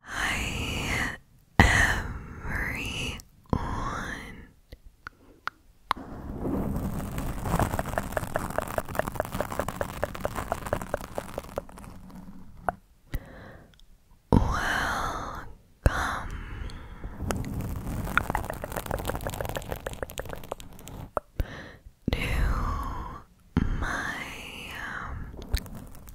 Hi, everyone. Welcome. To my um, Channel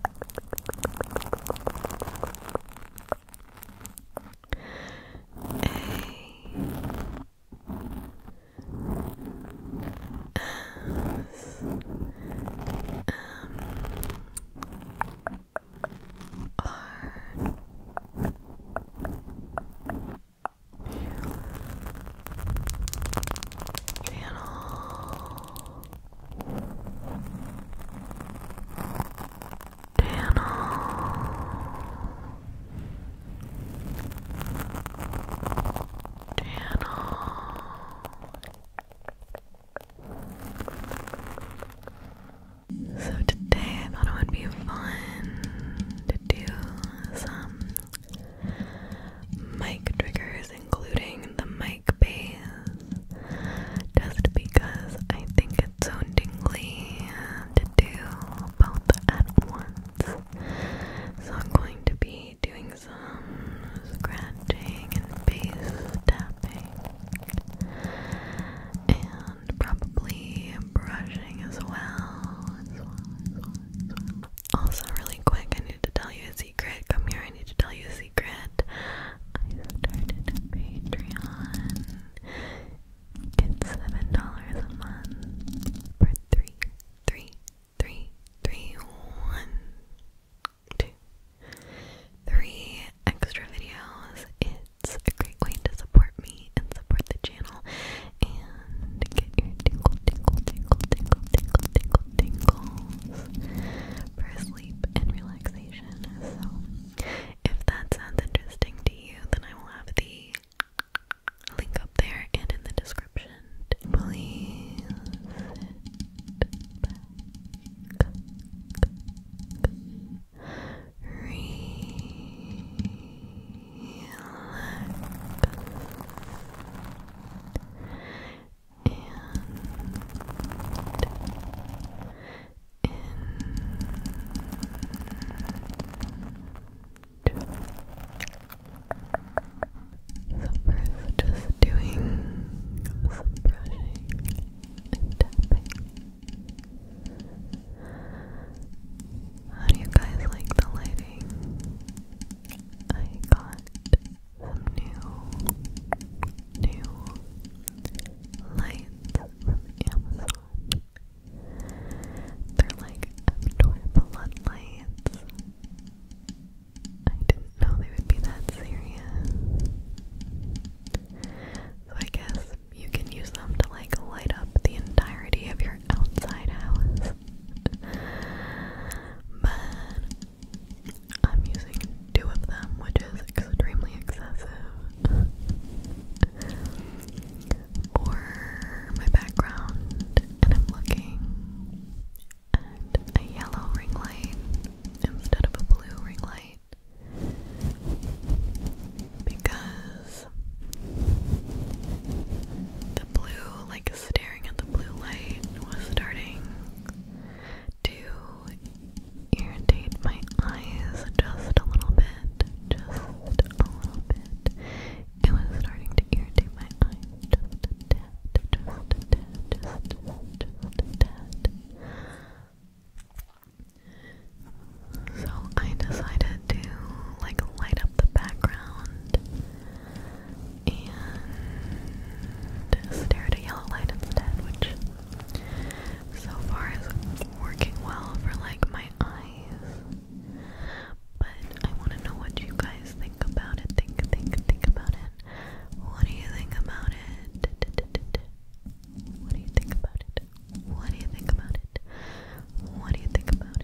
so today I thought it would be fun to do some mic triggers including the mic base, just because I think it's so tingly to do both at once. So I'm going to be doing some scratching and base tapping, and probably brushing as well. Also, really quick, I need to tell you a secret. Come here, I need to tell you a secret. I started Patreon. It's seven dollars a month for three, three, three, three, one, two, three extra videos. It's a great way to support me and support the channel and get your tingle, tingle, tingle, tingle, tingle, tingle, tingles. First sleep and relaxation. So, if that sounds interesting to you, then I will have the link up there and in the description. Please relax, so first just doing some brushing and tapping. How do you guys like the lighting? I got some new, new lights from Amazon. They're like adorable lights. I didn't know they would be that serious. So I guess you can use them to like light up the entirety of your outside house. Man, I'm using two of them, which is extremely excessive. or my background, and I'm looking at a yellow ring light instead of a blue ring light because the blue, like staring at the blue light, was starting to irritate my eyes just a little bit. Just a little bit. It was starting to irritate my eyes just a just just, just So I decided to like light up the background and stare at a yellow light instead, which so far is working well for like my eyes. But I want to know what you guys think about it. Think, think, think about it. What do you think about it? What do you think about it? What do you think about it? What do you think about it?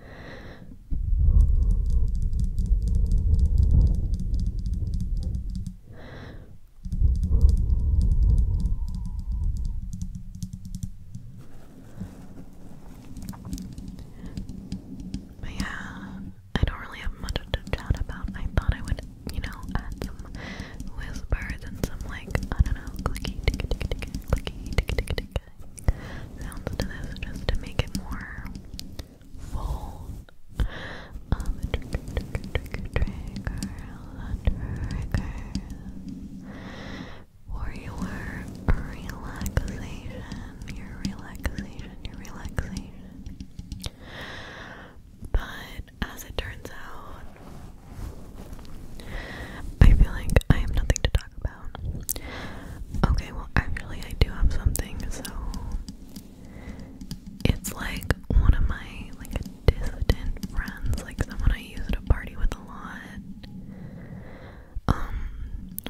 But yeah, I don't really have much to chat about. I thought I would, you know, add some whispers and some like, I don't know, clicky, ticky, ticky, ticky, clicky, ticky, ticky, sounds to this just to make it more full um, trigger, trigger, trigger, trigger for your relaxation, your relaxation, your relaxation but as it turns out I feel like I have nothing to talk about Okay, well, actually, I do have something. So it's like one of my like distant friends, like someone I used to party with a lot. Um,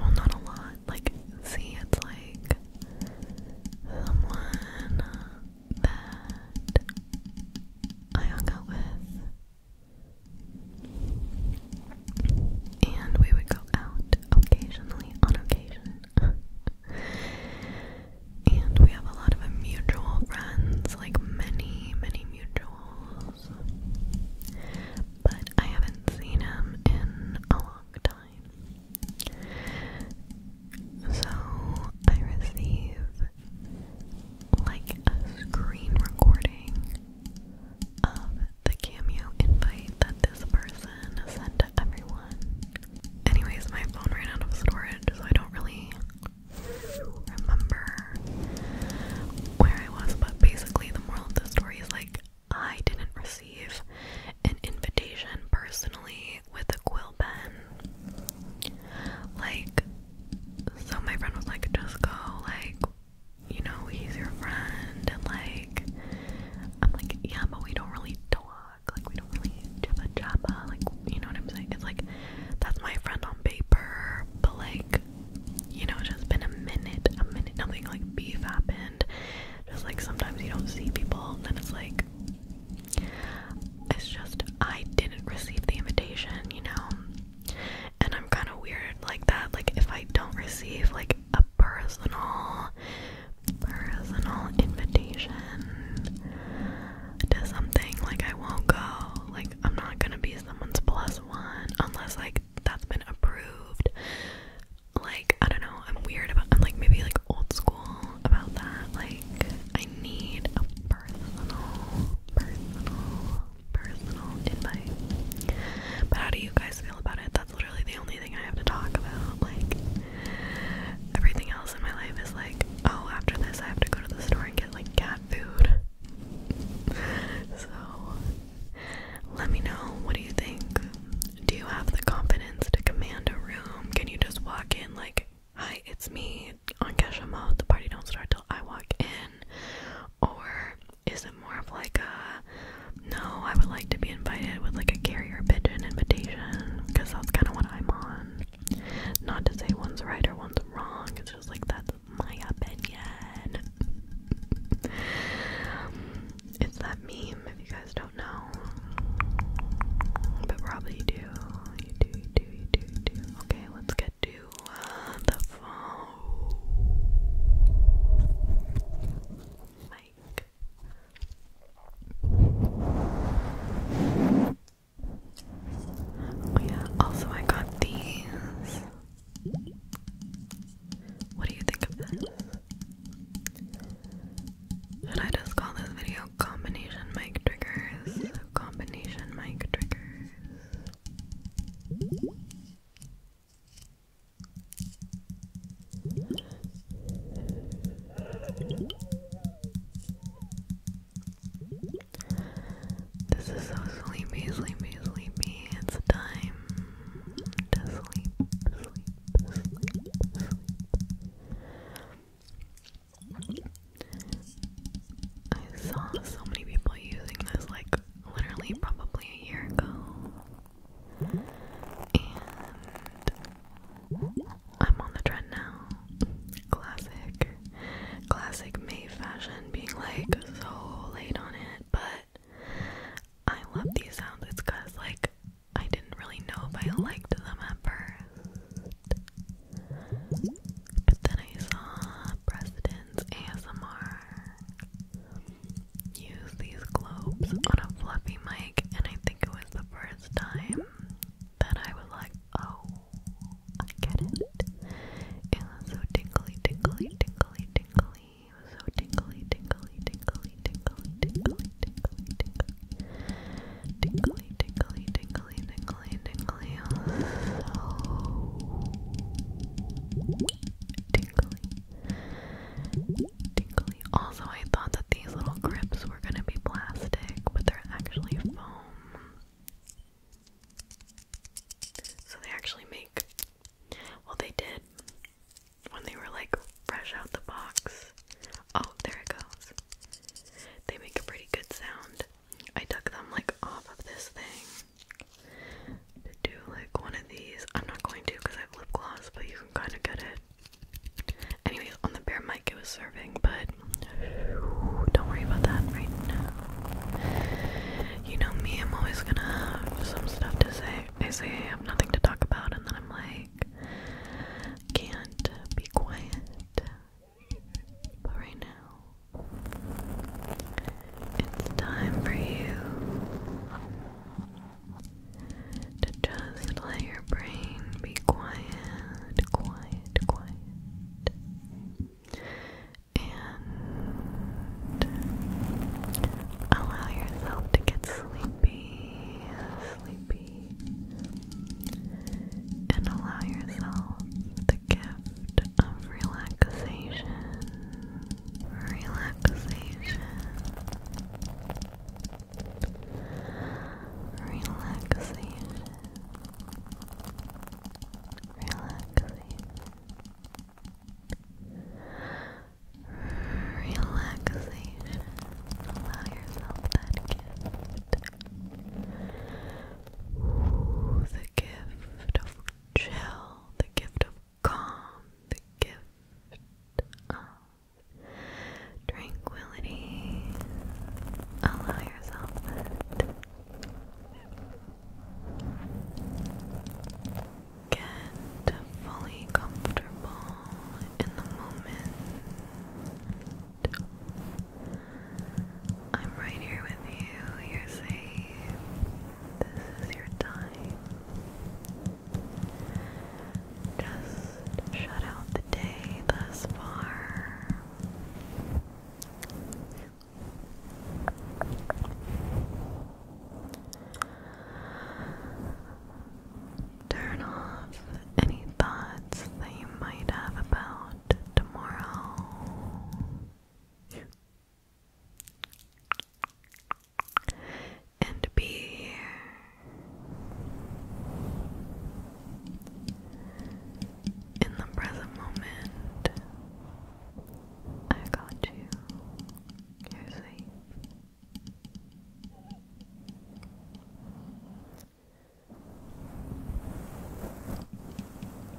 well, not a lot. Like, see, it's like someone that I hung out with and we would go out occasionally, on occasion. and we have a lot of mutual friends, like many, many mutuals. But I haven't seen him in a long time. So I receive like a screen recording of the cameo invite that this person sent to everyone. Anyways, my phone ran out of storage, so I don't really remember where I was, but basically, the moral of the story is like, I didn't receive an invitation personally with a quill pen. Like, so my friend was like, just go, like, you know, he's your friend, and like, I'm like, yeah, but we don't really talk, like, we don't really jabba jabba, like, you know what I'm saying? It's like, that's my friend on paper, but like, you know, it's just been a minute, a minute, nothing like beef happened. Just like sometimes you don't see people, and then it's like, it's just, I didn't receive the invitation, you know? And I'm kind of weird like that. Like, if I don't receive like a personal, personal invitation to something, like, I won't go. Like, I'm not gonna be someone's plus one unless, like, that's been approved. Like, I don't know. I'm weird about, I'm like maybe like old school about that. Like, I need a personal, personal personal invite. But how do you guys feel about it? That's literally the only thing I have to talk about. Like, everything else in my life is like, oh, after this, I have to go to the store and get like cat food. so, let me know. What do you think? Do you have the confidence to command a room? Can you just walk in, like, hi, it's me on Kesha The party don't start till I walk in. Or is it more of like a no, I would like to be invited with like a carrier pigeon invitation? Because that's kind of what I'm on. Not to say one's right or one's wrong, it's just like that's my opinion. it's that meme, if you guys don't know. But probably you do. You do, you do, you do, you do. Okay, let's get could do uh, the phone mic. Oh yeah, also I got these. What do you think of this? Should I just call this video combination mic triggers? Combination mic triggers. This is so sleepy, sleepy, sleepy. It's time to sleep, sleep, sleep, I saw so many people using this like literally probably a year ago. And I'm on the trend now. Classic. Classic May fashion being like so late on it, but I love these sounds. It's cause like I didn't really know if I liked them at first. But then I saw President's ASMR use these globes on a fluffy mic, and I think it was the first time that I was like, oh, I get it. It was so tingly, tingly, tingly, tingly. It was so tingly, tingly, tingly, tingly, tingly, tingly, tingly. Tingly, tingly, tingly, tingly, tingly. So tingly, tingly. Also, I thought that these little grips were gonna be plastic, but they're actually foam. So they actually make. Well, they did when they were like fresh out the box. Oh, there it goes. They make a pretty good sound. I took them like off of this thing to do like one of these. I'm not going to because I have lip gloss, but you can kind of get it. Anyways, on the bear mic it was serving, but don't worry about that right now. You know me, I'm always gonna have some stuff to say. I say I have nothing to talk about, and then I'm like, can't be quiet. But right now, it's time for you to just let your brain be quiet, quiet, quiet, and allow yourself to get sleepy, sleepy, and allow yourself the gift of relaxation relaxation, relaxation, relaxation, relaxation. Allow yourself that gift. Ooh, the gift of chill, the gift of calm, the gift of tranquility. Allow yourself that. Get fully comfortable in the moment. I'm right here with you. You're safe. This is your time. Just shut out the day thus far. Turn off any thoughts that you might have about tomorrow and be here. In the present moment, I got you. You're safe.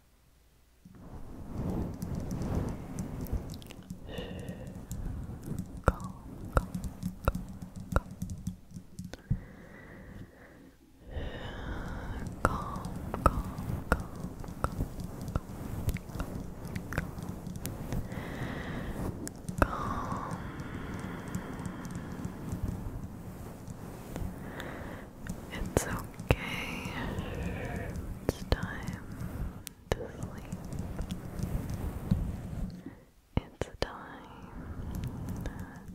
Calm, calm, calm, calm. Calm, calm, calm, calm, calm, calm. It's okay. It's time to sleep. It's time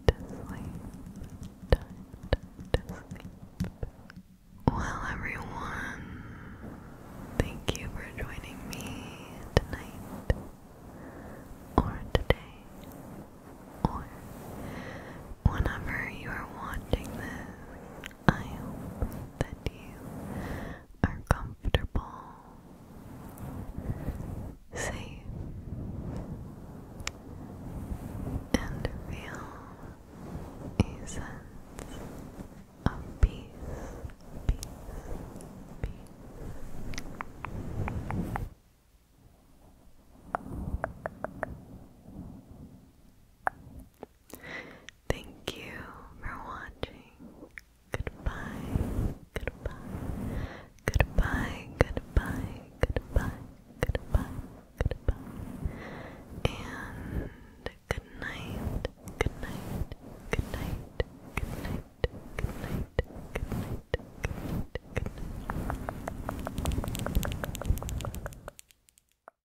to sleep. Well, everyone, thank you for joining me tonight, or today, or whenever you are watching this I hope that you are comfortable, safe, and feel a sense of peace, peace. Thank you for watching. Goodbye, goodbye, goodbye, goodbye, goodbye, goodbye, goodbye, and good night, good night, good night, good night, good night, good night, good night,